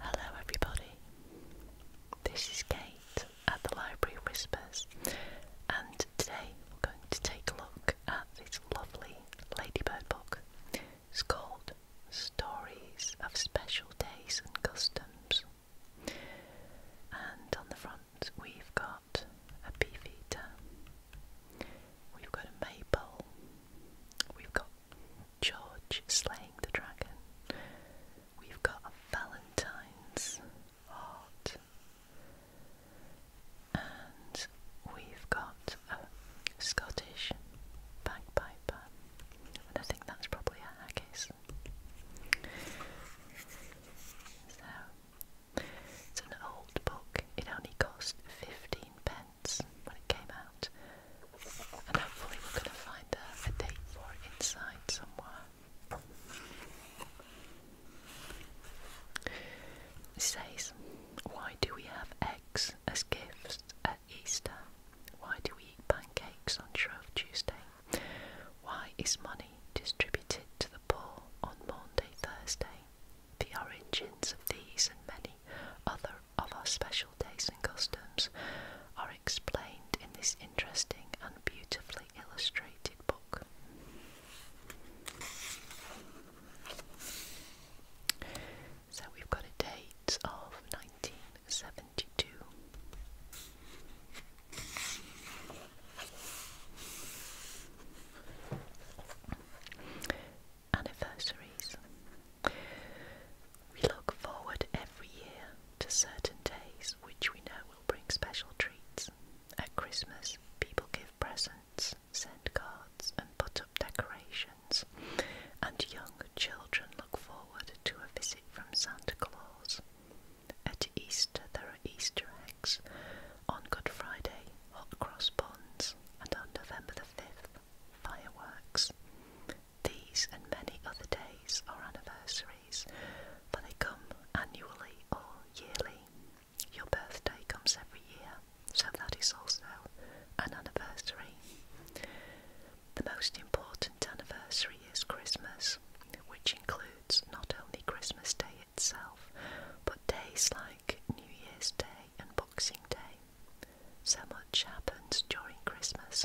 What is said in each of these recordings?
Hello, everybody. This is Kate at the Library Whispers, and today we're going to take a look at this lovely ladybird book. It's called Stories of Special Days and Customs, and on the front we've got a beefeater, we've got a maypole, we've got George slaying the dragon. We've got a Valentine's heart. And we've got a Scottish bagpiper. And I think that's probably a haggis. So, it's an old book. It only cost 15 pence when it came out. And hopefully we're going to find a, date for it inside somewhere. It says, why do we have eggs as gifts at Easter? Why do we eat pancakes on Shrove Tuesday? Why is money distributed to the poor on Maundy Thursday? The origins of these and many other of our special days and customs are explained in this interesting and beautifully illustrated book. So we've got a date of 1972 anniversaries. We look forward every year to certain days which we know will bring special treats. At Christmas, people give presents, send cards, and put up decorations, and young children look forward to a visit from Santa Claus. At Easter, there are Easter eggs. On Good Friday, hot cross buns, and on November the 5th, fireworks. These and many other days are anniversaries, for they come annually or yearly. Your birthday comes every year, so that is also an anniversary. The most important anniversary is Christmas, which includes not only Christmas Day itself, but days like New Year's Day and Boxing Day. So much happens during Christmas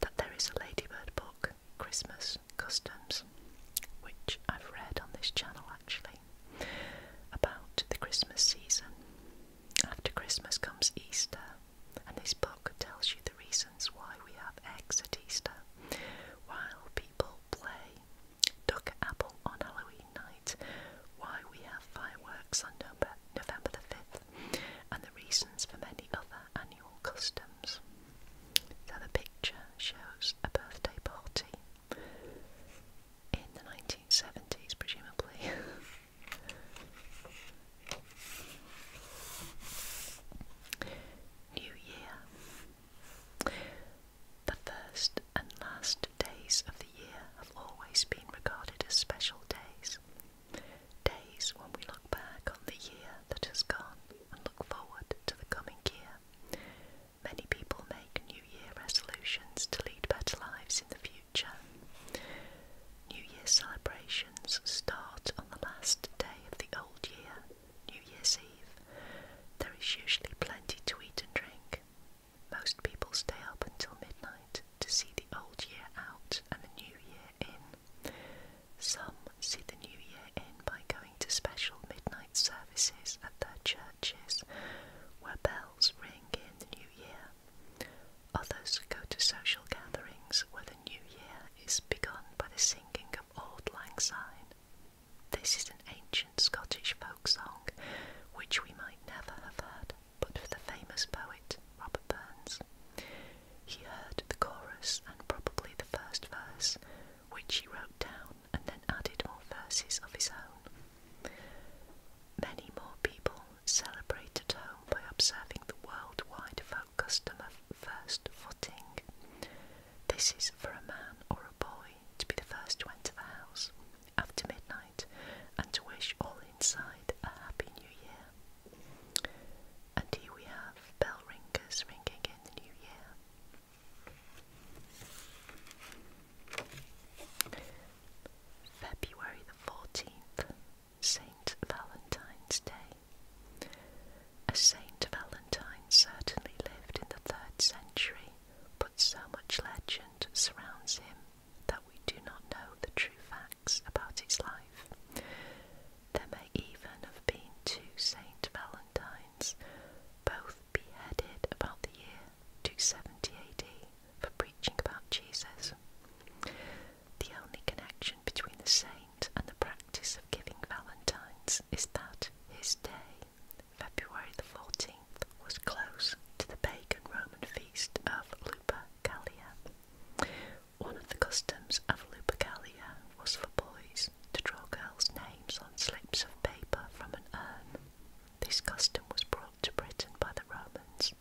that there is a Ladybird book, Christmas Customs, which I've read on this channel actually, about the Christmas season. After Christmas comes Easter, and this book tells you the reasons why we have eggs at Easter, why people play duck apple on Halloween night, why we have fireworks on November the 5th and the reasons for many other annual customs. So the picture shows a birthday party in the 1970s, presumably. New Year. The first and last days of the year have always been regarded as special days. Days when we look back on the year that has gone and look forward to the coming year. Many people make New Year resolutions to lead better lives in the future. New Year celebrations start on the last day of the old year, New Year's Eve. There is usually plenty to eat and drink, most people stay up until midnight to see the old year out and the new year in. Some see the new year in by going to special midnight services at their churches where bells ring in the new year. Others go to social gatherings where the new year is begun by the singing of Auld Lang Syne. This is an ancient Scottish folk song which we might never have heard but for the famous poet Robert Burns. He heard the chorus and probably the first verse, which he wrote down and then added more verses of his own. Many more people celebrate at home by observing the worldwide folk custom of first footing. This is for a man or a boy to be the first to enter the house, after midnight and to wish all inside a happy new year. And here we have bell ringers ringing in the new year. February the 14th, Saint Valentine's Day. A Saint Valentine certainly lived in the third century, but so much legend surrounds him that we do not know the true facts about his life. There may even have been two Saint Valentines, both beheaded about the year 270 AD for preaching about Jesus. The only connection between the saint and the practice of giving Valentines is that his day, February the 14th, was close to the pagan Roman feast of Lupercalia. One of the customs of Lupercalia was for boys to draw girls' names on slips of paper from an urn. This custom was brought to Britain by the Romans.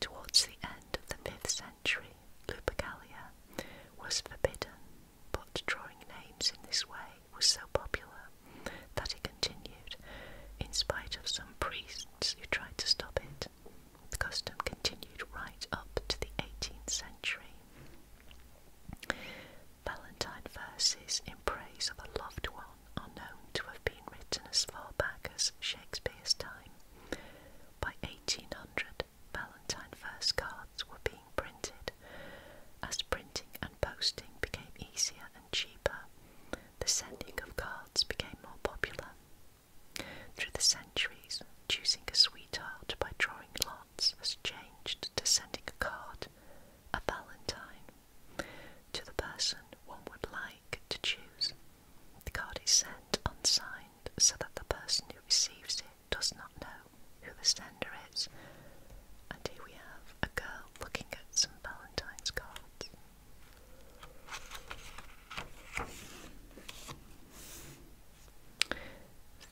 Towards the end of the 5th century, Lupercalia was forbidden, but drawing names in this way was so popular that it continued, in spite of some priests who tried to stop it. The custom continued right up to the 18th century. Valentine verses in praise of a loved one are known to have been written as far back as Shakespeare's time. By 1800, Valentine verse cards were being printed. As printing and posting became easier and cheaper, the sending of cards became more popular. Through the centuries, choosing a sweetheart by drawing lots was changed to sending a card, a valentine, to the person one would like to choose. The card is sent unsigned so that the person who receives it does not know who the sender is. And here we have a girl looking at some Valentine's cards.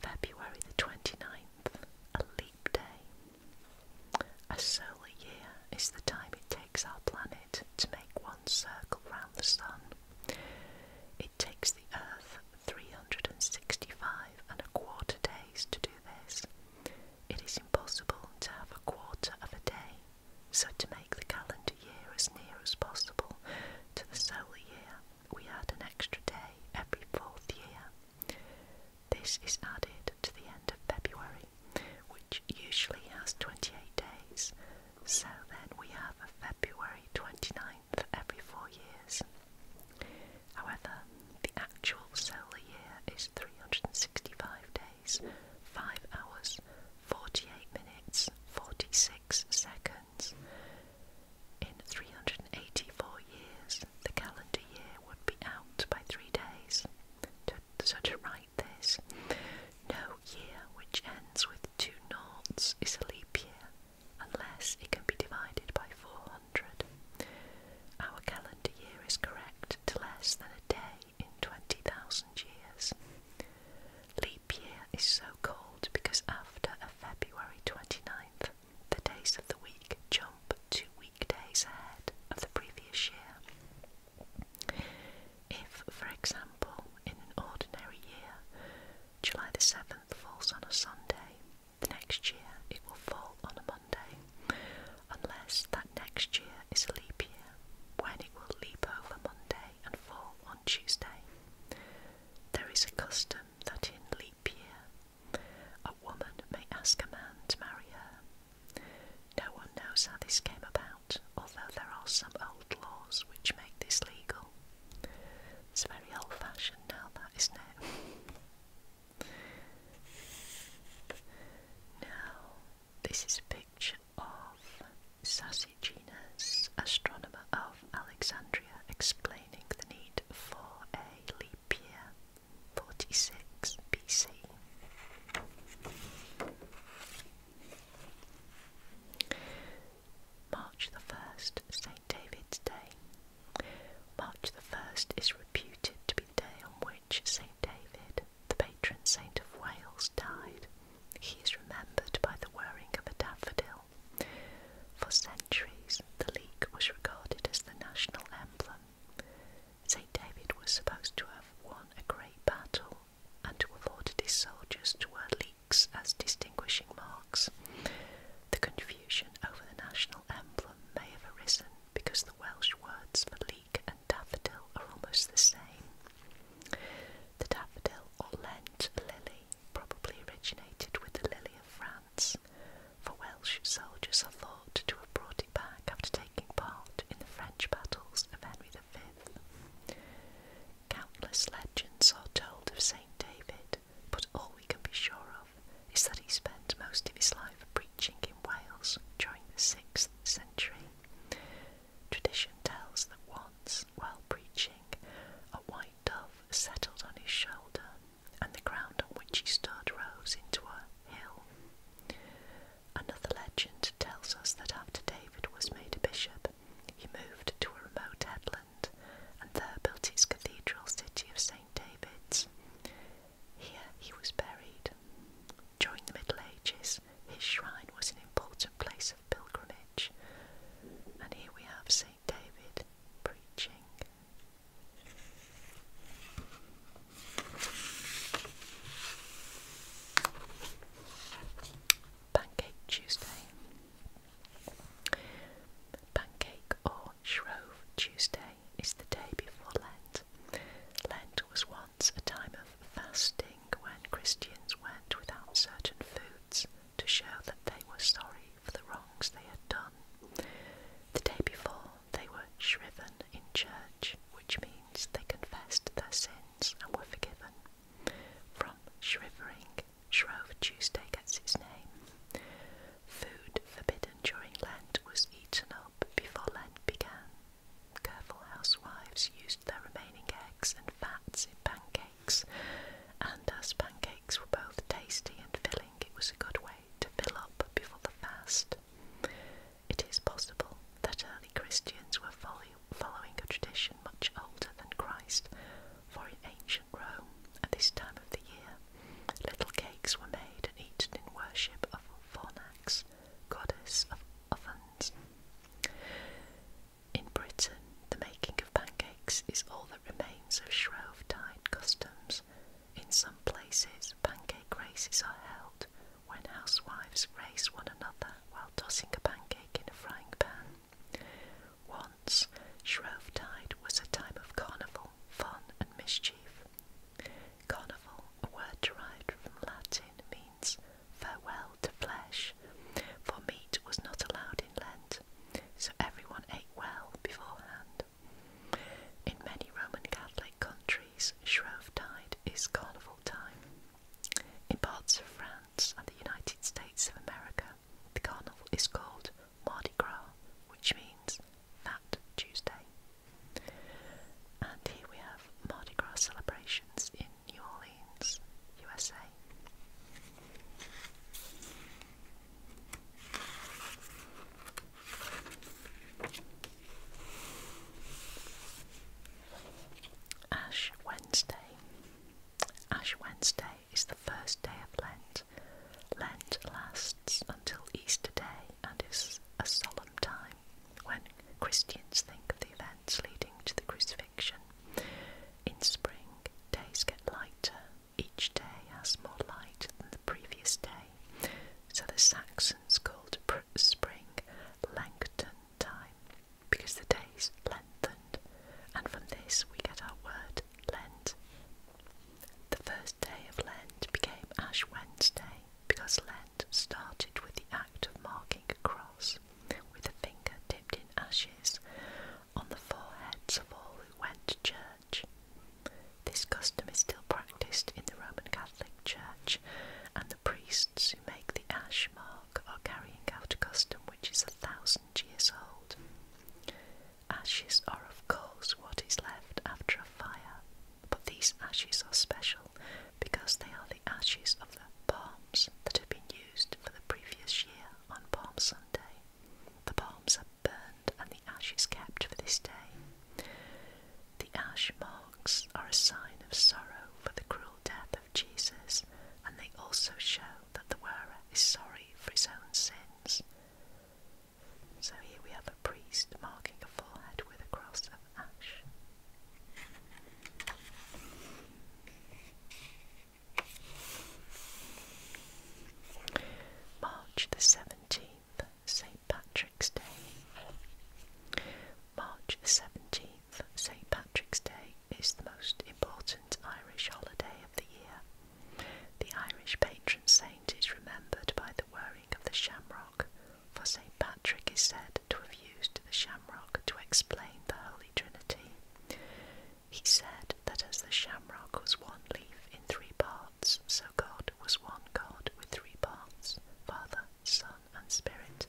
February the 29th, a leap day. A solar year is the time it takes our planet to make one circle round the sun. It takes the Earth 365 and a quarter days to do this, it is impossible to have a quarter of a day, so to make the calendar year as near as possible to the solar year, we add an extra day every fourth year. This is added to the end of February, which usually has 28 days, so then we have a February 29th every four years. However, the actual solar year is 365 days. 5 hours, 48 minutes, 46 seconds. In 384 years, the calendar year would be out by three days. To, so to write this, no year which ends with two noughts is a leap year unless it can be divided by 400. Our calendar year is correct to less than day in 20,000 years. Leap year is so called because after a February 29th, the days of the week jump two weekdays ahead of the previous year. If, for example, in an ordinary year, July the 7th falls on a Sunday, the next year it will fall on a Monday unless that next year is a leap year when it will leap over Monday and fall on Tuesday. There is a custom that in leap year a woman may ask a man to marry her. No one knows how this came about, although there are some old laws which make this legal. It's very old fashioned now, that isn't it? now, this is a picture of Sassiginus, astronomer of Alexandria, explaining the need for a leap year, 46 BC. March the 1st, St. David's Day. March the 1st is reputed to be the which St. David, the patron saint of Wales, died, he is remembered by the wearing of a daffodil. For centuries, the leek was regarded as the national emblem. St. David was supposed to have won a great battle and to have ordered his soldiers to wear leeks as distinguishing marks. The confusion over the national emblem may have arisen because the Welsh words for leek daffodil are almost the same. The daffodil or Lent lily probably originated with the lily of France, for Welsh soldiers are thought to have brought it back after taking part in the French battles of Henry V. Countless legends are told of St. David, but all we can be sure of is that he spent most of his life preaching in Wales during the 6th century. Tradition tells that once, while preaching, a white dove settled on his shoulder, and the ground on which he stood rose into a hill. Another legend tells us that after David was made a bishop, he moved to a remote headland and there built his cathedral city of St. David's. Here he was buried. During the Middle Ages, his shrine was an important place of pilgrimage. And here we have St. David preaching. Pancake Tuesday. Pancake or Shrove Tuesday is the day before Lent. Lent. was once a time of fasting when Christians went without certain foods to show that they were sorry for the wrongs they had done. The day before, they were shriven in church, which means they confessed their sins and were forgiven. From shrivering, Shrove Tuesday gets its name. Food forbidden during Lent was eaten up before Lent began. Careful housewives used their remaining eggs and fats in pancakes, and as pancakes were both tasty and filling, it was a good way to fill up before the fast. It is possible that early Christians were following a tradition much older than Christ, for in ancient Rome, at this time of the year, little cakes were made and eaten in worship of Fornax, goddess of ovens. In Britain, the making of pancakes is all that remains of Shrove-tide customs. In some places, pancake races are held when housewives race one another while tossing a pancake in a frying pan. Once, Shrove Tide was a time of carnival, fun, and mischief, Carnival, a word derived from Latin, means farewell to flesh, for meat was not allowed in Lent, so everyone ate well beforehand. In many Roman Catholic countries, Shrove Tide is carnival time. In parts of France and the United States of America, the carnival is called Mardi Gras, which means Fat Tuesday. And here we have Mardi Gras celebrations in New Orleans, USA. Ash Wednesday. Ash Wednesday is the first day of Lent. Lent lasts until Easter Day and is a solemn time when Christians think of the events leading to the crucifixion. In spring, days get lighter, each day has more light than the previous day, so the Saxons called spring Langton time because the days lengthened, and from this we get our word Lent. The first day of Lent became Ash Wednesday because Lent started with the act of marking a cross with a finger dipped in ashes on the foreheads of all who went to church. This custom is still practiced in the Roman Catholic Church, and the priests who make the ash mark are carrying out a custom which is a thousand years old. Ashes are, of course, what is left after a fire. But these ashes are special because they are the ashes of the palms that have been used for the previous year on Palm Sunday. The palms are burned and the ashes kept for this day. The ash marks are a sign of sorrow for the cruel death of Jesus, and they also show that the wearer is sorry for his own sins. So here we have a priest marking a forehead with a cross of ash. March the 17th, St. Patrick's Day. March the 17th, St. Patrick's Day is the most important Irish holiday of the year. The Irish patron saint is remembered by the wearing of the shamrock for St. Patrick is said to have used the shamrock to explain the Holy Trinity. He said that as the shamrock was one leaf in three parts, so God was one God with three parts Father, Son, and Spirit.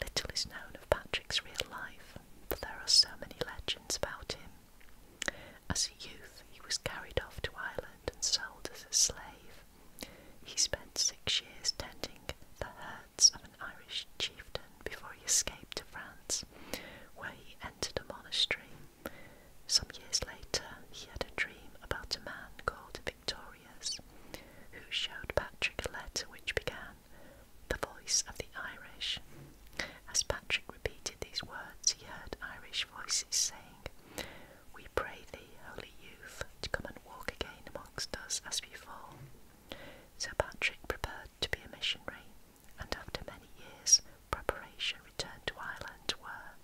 Little is known of Patrick's real life, for there are so many legends about him. As a youth, he was carried off to Ireland and sold as a slave. He spent six years tending the herds of an Irish chieftain before he escaped to France, where he entered a monastery. Some years later, he had a dream about a man called Victorious, who showed Patrick a letter which began, The Voice of the Irish. As Patrick repeated these words, he heard Irish voices saying, we pray thee, holy youth, to come and walk again amongst us as before. Sir Patrick prepared to be a missionary, and after many years' preparation returned to Ireland, where,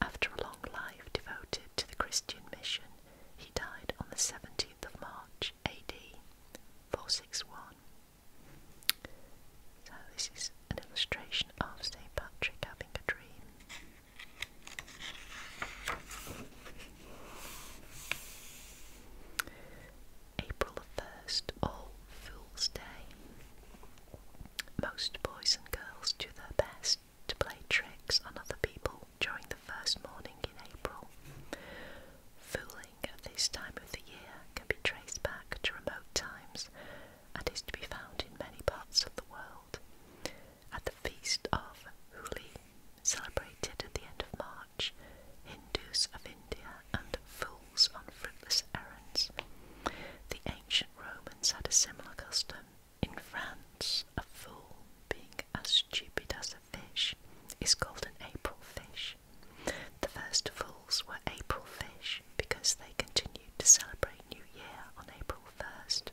after a long life devoted to the Christian mission, he died on the 17th of March, AD 461. So, this is an illustration of St. Patrick having a dream. April 1st, All Fool's Day. Most boys and girls do their best to play tricks on other people during the first morning in April. Fooling at this time of the year can be traced back to remote times and is to be found in many parts of the world. At the feast of Holi, celebrated at the end of March, Hindus of India and fools on fruitless errands. The ancient Romans had a similar custom. In France, a fool, being as stupid as a fish, is called an April fish. The first fools were April fish because they continued to celebrate New Year on April 1st.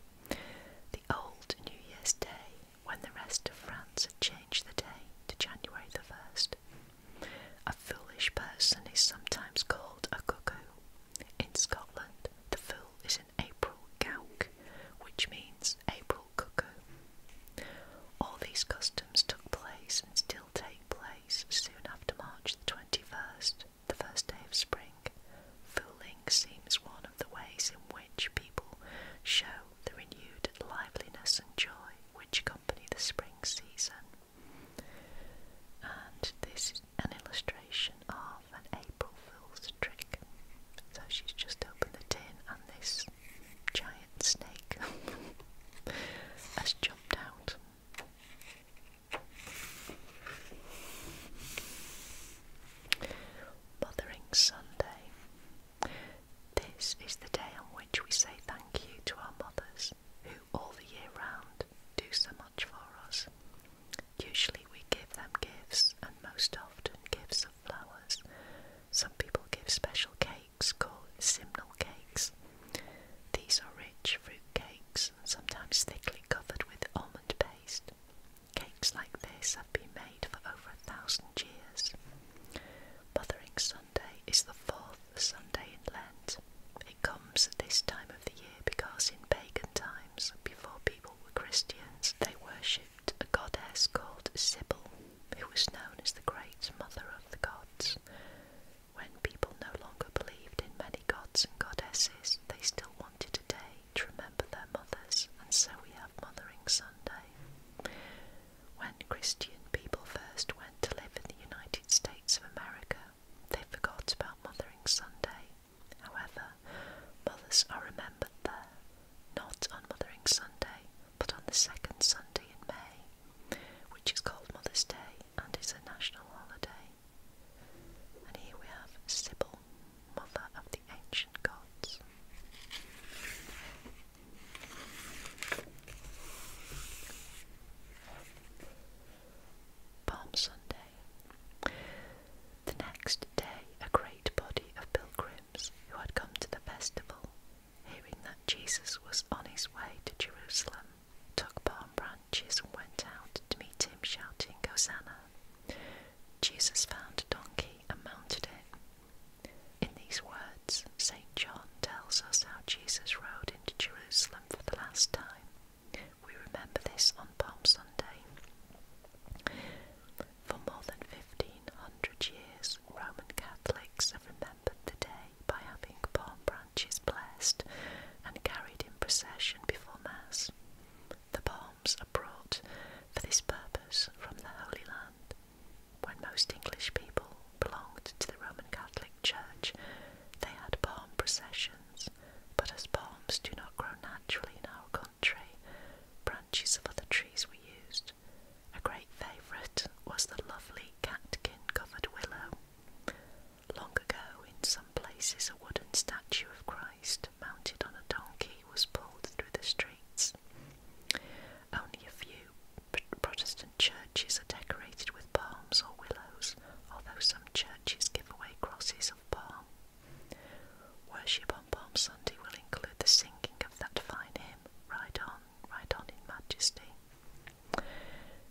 The old New Year's Day, when the rest of France had changed the day to January the 1st. A foolish person is sometimes called a cuckoo. In Scotland, the fool is an April gowk, which means April cuckoo. All these customs took place and still take place soon after March the 21st, the first day of spring, fooling seems one of the ways in which people show the renewed liveliness and joy which accompany the spring season. And this is an illustration of an April Fool's trick. So she's just opened the tin, and this giant snake has jumped out. Mothering Sunday. This is the day on which we say thank you to our mothers who, all the year round, do so much for us. Usually we give them gifts and most often gifts of flowers. Some people give special cakes called simnel cakes. These are rich fruit cakes sometimes thickly covered with almond paste. Cakes like this have been made for over a thousand years. Mothering Sunday is the fourth Sunday in Lent. It comes at this time of the year because in pagan times, before people were Christians, they worshipped a goddess called Sibyl, who was known as the Great Mother of the Gods. When people no longer believed in many gods and goddesses, they still wanted a day to remember their mothers, and so we have Mothering Sunday. When Christian people first went to live in the United States of America, they forgot about Mothering Sunday. However, mothers are remembered there, not on Mothering Sunday, but on the second Sunday in May, which is called Mother's Day and is a national holiday. And here we have Sybil, mother of the ancient gods. Palm Sunday. The next day, a great body of pilgrims who had come to the festival, hearing that Jesus was on his way to Jerusalem, took palm branches and went out to meet him, shouting, Hosanna! Jesus found a donkey and mounted it. In these words, St. John tells us how Jesus rode into Jerusalem for the last time. We remember this on Palm Sunday. For more than 1500 years, Roman Catholics have remembered the day by having palm branches blessed and carried in procession before Mass. The palm palms are brought for this purpose from the Holy Land. When most English people belonged to the Roman Catholic Church, they had palm processions, but as palms do not grow naturally in our country, branches of other trees were used. A great favourite was the lovely catkin covered willow. Long ago, in some places, a wooden statue of Christ mounted on a donkey was pulled through the streets. Only a few Protestant churches are decorated with palms or willows, although some churches give away crosses of palm. Worship on Palm Sunday will include the singing of that fine hymn, "Right On, Right On in Majesty.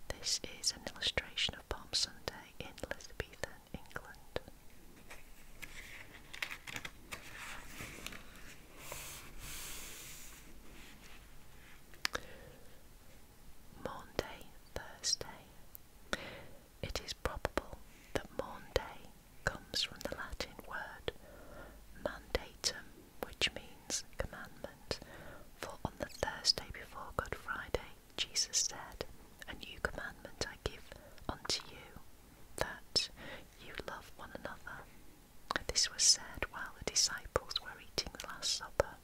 This is an illustration of Palm Sunday in Elizabethan England. Thursday. It is probable that Maunday comes from the Latin word mandatum, which means commandment, for on the Thursday before Good Friday Jesus said, A new commandment I give unto you, that you love one another. This was said while the disciples were eating the Last Supper.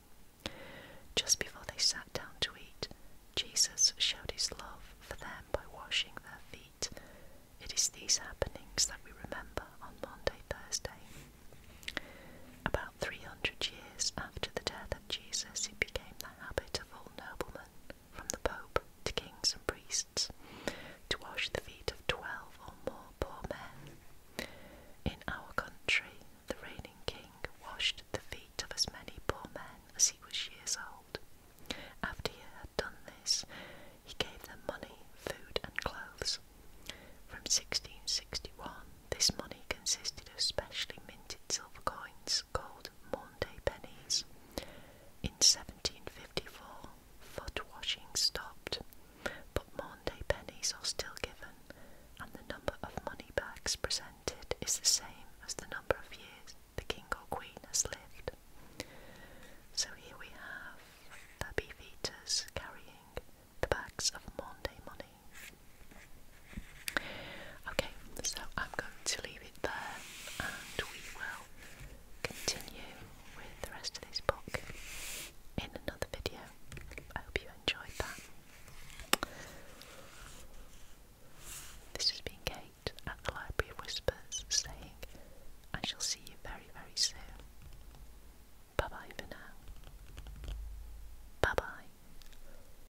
Just before they sat down to eat, Jesus showed his love for them by washing their feet. It is these happenings that we remember on Monday, Thursday. About 300 years after the death of Jesus, it became the habit of all noblemen, from the Pope to kings and priests, to wash the feet of twelve or more poor men. In our country, the reigning king washed the feet of as many poor men as he was years old. After he had done this, he gave them money, food, and clothes. From 1661, this money consisted of specially minted silver coins called Monday pennies. In 1754, foot washing stopped, but Monday pennies are still given, and the number of money bags presented is the same as the number of years the king or queen has lived. So here we have the beef eaters carrying the bags of Monday money. Okay, so I'm going to leave it there and we will continue with the rest of this book in another video. I hope you enjoyed that. This has been Kate at the Library Whispers saying, I shall see you very, very soon. Bye bye for now. Bye bye.